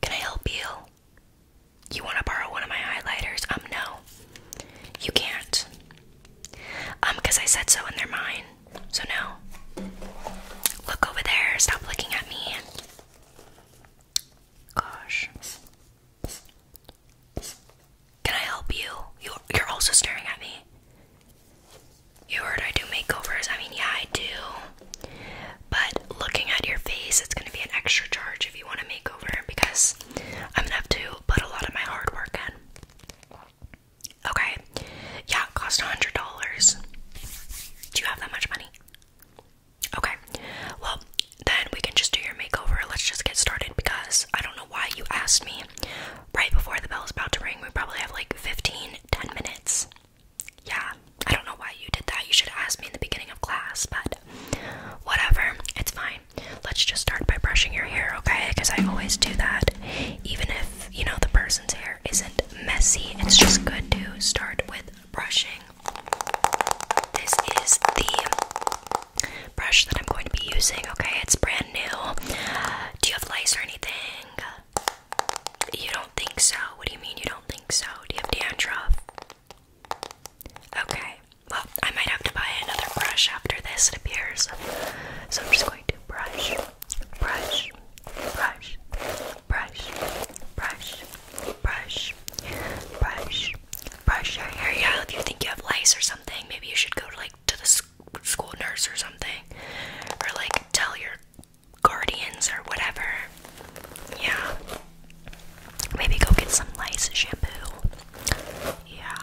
Can I help you? You want to borrow one of my highlighters? Um, no. You can't. Um, because I said so and they're mine. So, no. Look over there. Stop looking at me. Gosh. Can I help you? you you're also staring at me. You heard I do makeovers. I mean, yeah, I do. But looking at your face, it's going to be an extra charge if you want a makeover because I'm going to have to put a lot of my hard work in. Okay. Yeah, it cost $100. Do you have that much money? Okay. Well, then we can just do your makeover. Let's just get started because I don't know why you asked me right before the bell is about to ring. We probably have like 15, 10 minutes yeah, I don't know why you did that. You should ask me in the beginning of class, but whatever, it's fine. Let's just start by brushing your hair, okay? Because I always do that. Even if, you know, the person's hair isn't messy, it's just good to start with brushing. This is the brush that I'm going to be using, okay? It's brand new. Do you have lice or anything? You don't think so? What do you mean you don't think so? Do you have dandruff? Okay. Well, I might have to buy another brush after this, it appears. So I'm just going to brush, brush, brush, brush, brush, brush, brush, brush your hair. Yeah, if you think you have lice or something, maybe you should go to like to the school nurse or something, or like tell your guardians or whatever. Yeah. Maybe go get some nice shampoo. Yeah.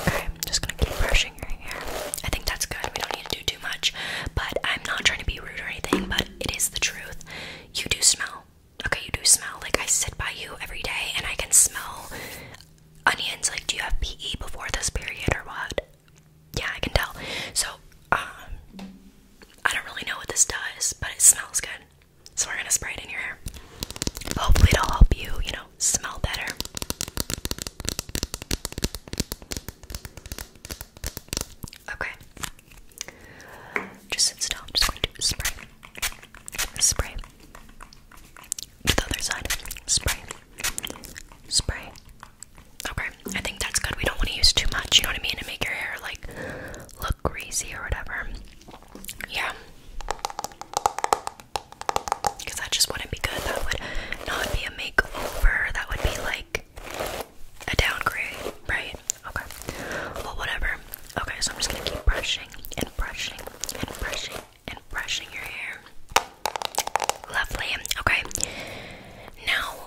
Okay, I'm just gonna keep brushing your hair. I think that's good. We don't need to do too much. But I'm not trying to be rude or anything, but it is the truth. You do smell. Okay, you do smell. Like I sit by you every day and I can smell onions. Like, do you have PE before this period or what? yeah, I can tell. So, um, I don't really know what this does, but it smells good. So we're gonna spray it in your hair. Hopefully, it'll help you, you know, smell better. Okay. Just sit still. just going to spray. Spray. the other side. Spray. Spray. Okay, I think that's good. We don't want to use too much, you know what I mean, to make your hair like look greasy or whatever. Yeah. Because that just wouldn't be good. That would not be a makeover. That would be like a downgrade, right? Okay. Well, whatever. Okay, so I'm just gonna keep brushing and brushing and brushing and brushing your hair. Lovely. Okay. Now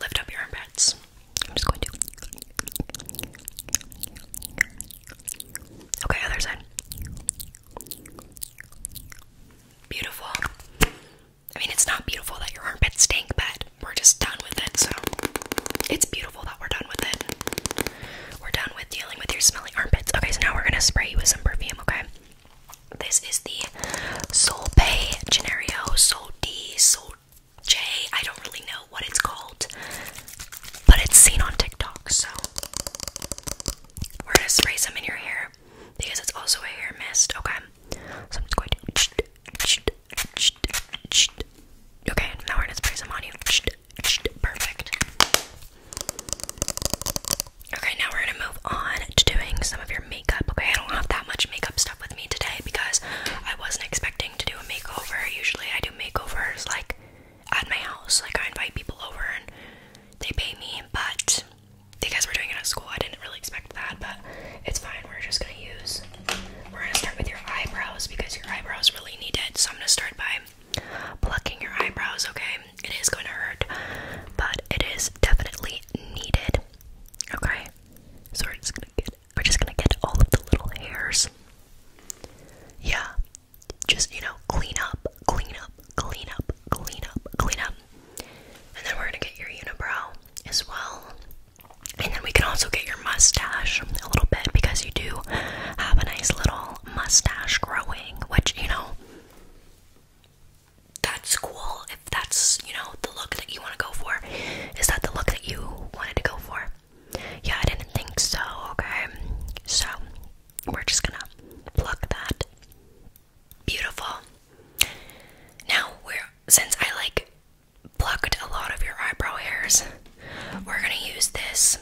Lift up your armpits. I'm just going to. Okay, other side. Beautiful. I mean, it's not beautiful that your armpits stink, but we're just done with it, so it's beautiful that we're done with it. We're done with dealing with your smelly armpits. Okay, so now we're gonna spray you with some perfume, okay? This is the Solpay Generio Sol D Sol J. I don't really know what it's called, but it's seen on TikTok. So we're gonna spray some in your hair because it's also a hair mist. Okay, so I'm just going to. Okay, now we're gonna spray some on you. Perfect. Okay, now we're gonna move on to doing some of your makeup. Okay, I don't have that much makeup stuff with me today because I wasn't expecting to do a makeover. Usually I do makeovers like at my house. Like I invite people over and they pay me, but because we're doing it at school, I didn't really expect that, but it's fine. We're just gonna use we're gonna start with your eyebrows because your eyebrows really need it. So I'm gonna start by plucking your eyebrows, okay? It is gonna hurt, but it is definitely needed. Okay? So it's gonna get we're just gonna get all of the little hairs. Yeah. Just, you know, clean up, clean up, clean up, clean up, clean up. And then we're gonna get your unibrow as well. And then we can also get your mustache a little bit because you do have a nice little mustache growing, which, you know, that's cool that's you know the look that you want to go for. Is that the look that you wanted to go for? Yeah, I didn't think so. Okay, so we're just gonna pluck that. Beautiful. Now we're since I like plucked a lot of your eyebrow hairs, we're gonna use this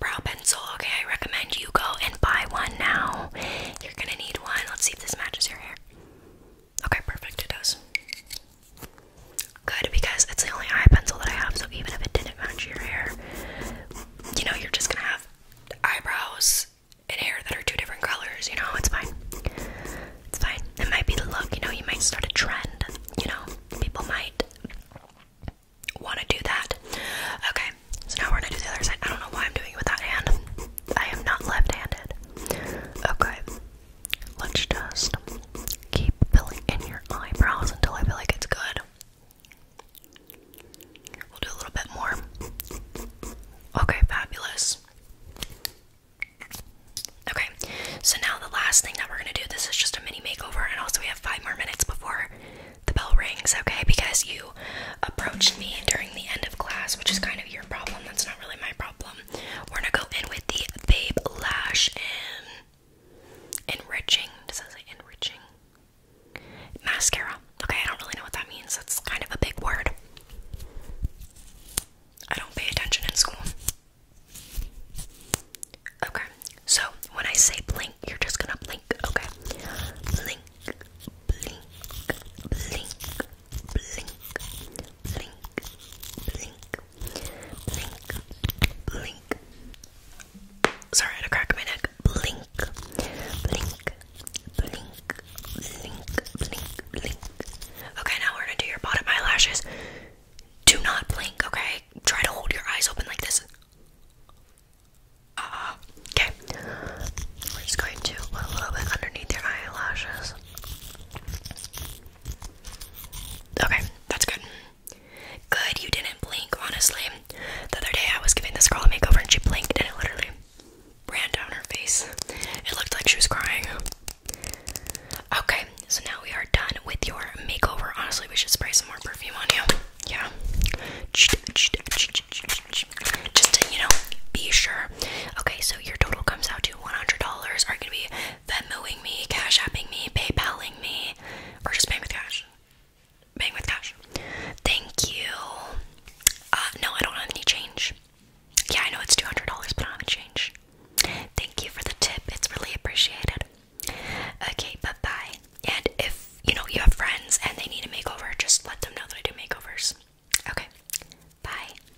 brow pencil. Okay, I recommend you go and buy one now. You're gonna need one. Let's see if this matches your hair. Okay, perfect, it does. Good, because it's the only eye pencil that I have, so even if it didn't match your hair, you know, you're just gonna have eyebrows and hair that are two different colors, you know, it's fine. It's fine. It might be the look, you know, you might start a trend, you know, people might want to do that. Okay, so now we're gonna do the other side. I don't know why I'm doing it with that hand. I am not left handed. Okay, Lunch dust. Keep filling in your eyebrows until I feel like it's good. We'll do a little bit more. Okay, fabulous. Okay, so now the last thing that we're gonna do, this is just a mini makeover, and also we have five more minutes before the bell rings, okay? Because you approached me during the end of class, which is kind of your problem. That's not really my problem. We're gonna go in with the Babe Lash and Enriching. Does that enriching? Mascara. Okay, I don't really know what that means. That's kind of a big word. I don't pay attention in school. Okay, so when I say blink, you're just gonna blink, okay? Blink, blink, blink, blink, blink, blink, blink, blink. Sorry, I had my neck. Blink, blink, blink, blink, blink, blink. Okay, now we're gonna do your bottom eyelashes. Do not blink, okay? Try to hold your eyes open like this. Uh, okay. We're just going to put a little bit underneath your eyelashes. Okay, that's good. Good, you didn't blink, honestly. The other day I was giving this girl a makeover and she blinked and it literally ran down her face. It looked like she was crying. Okay, so now we are done with your makeover. Honestly, we should spray some more perfume on you. Yeah. Just to, you know, be sure. Okay, so your total comes out to. $100 are going to be Venmoing me, Cash Apping me, PayPaling me, or just paying with cash. Paying with cash. Thank you. Uh, no, I don't have any change. Yeah, I know it's $200, but I have any change. Thank you for the tip. It's really appreciated. Okay, bye-bye. And if, you know, you have friends and they need a makeover, just let them know that I do makeovers. Okay, bye.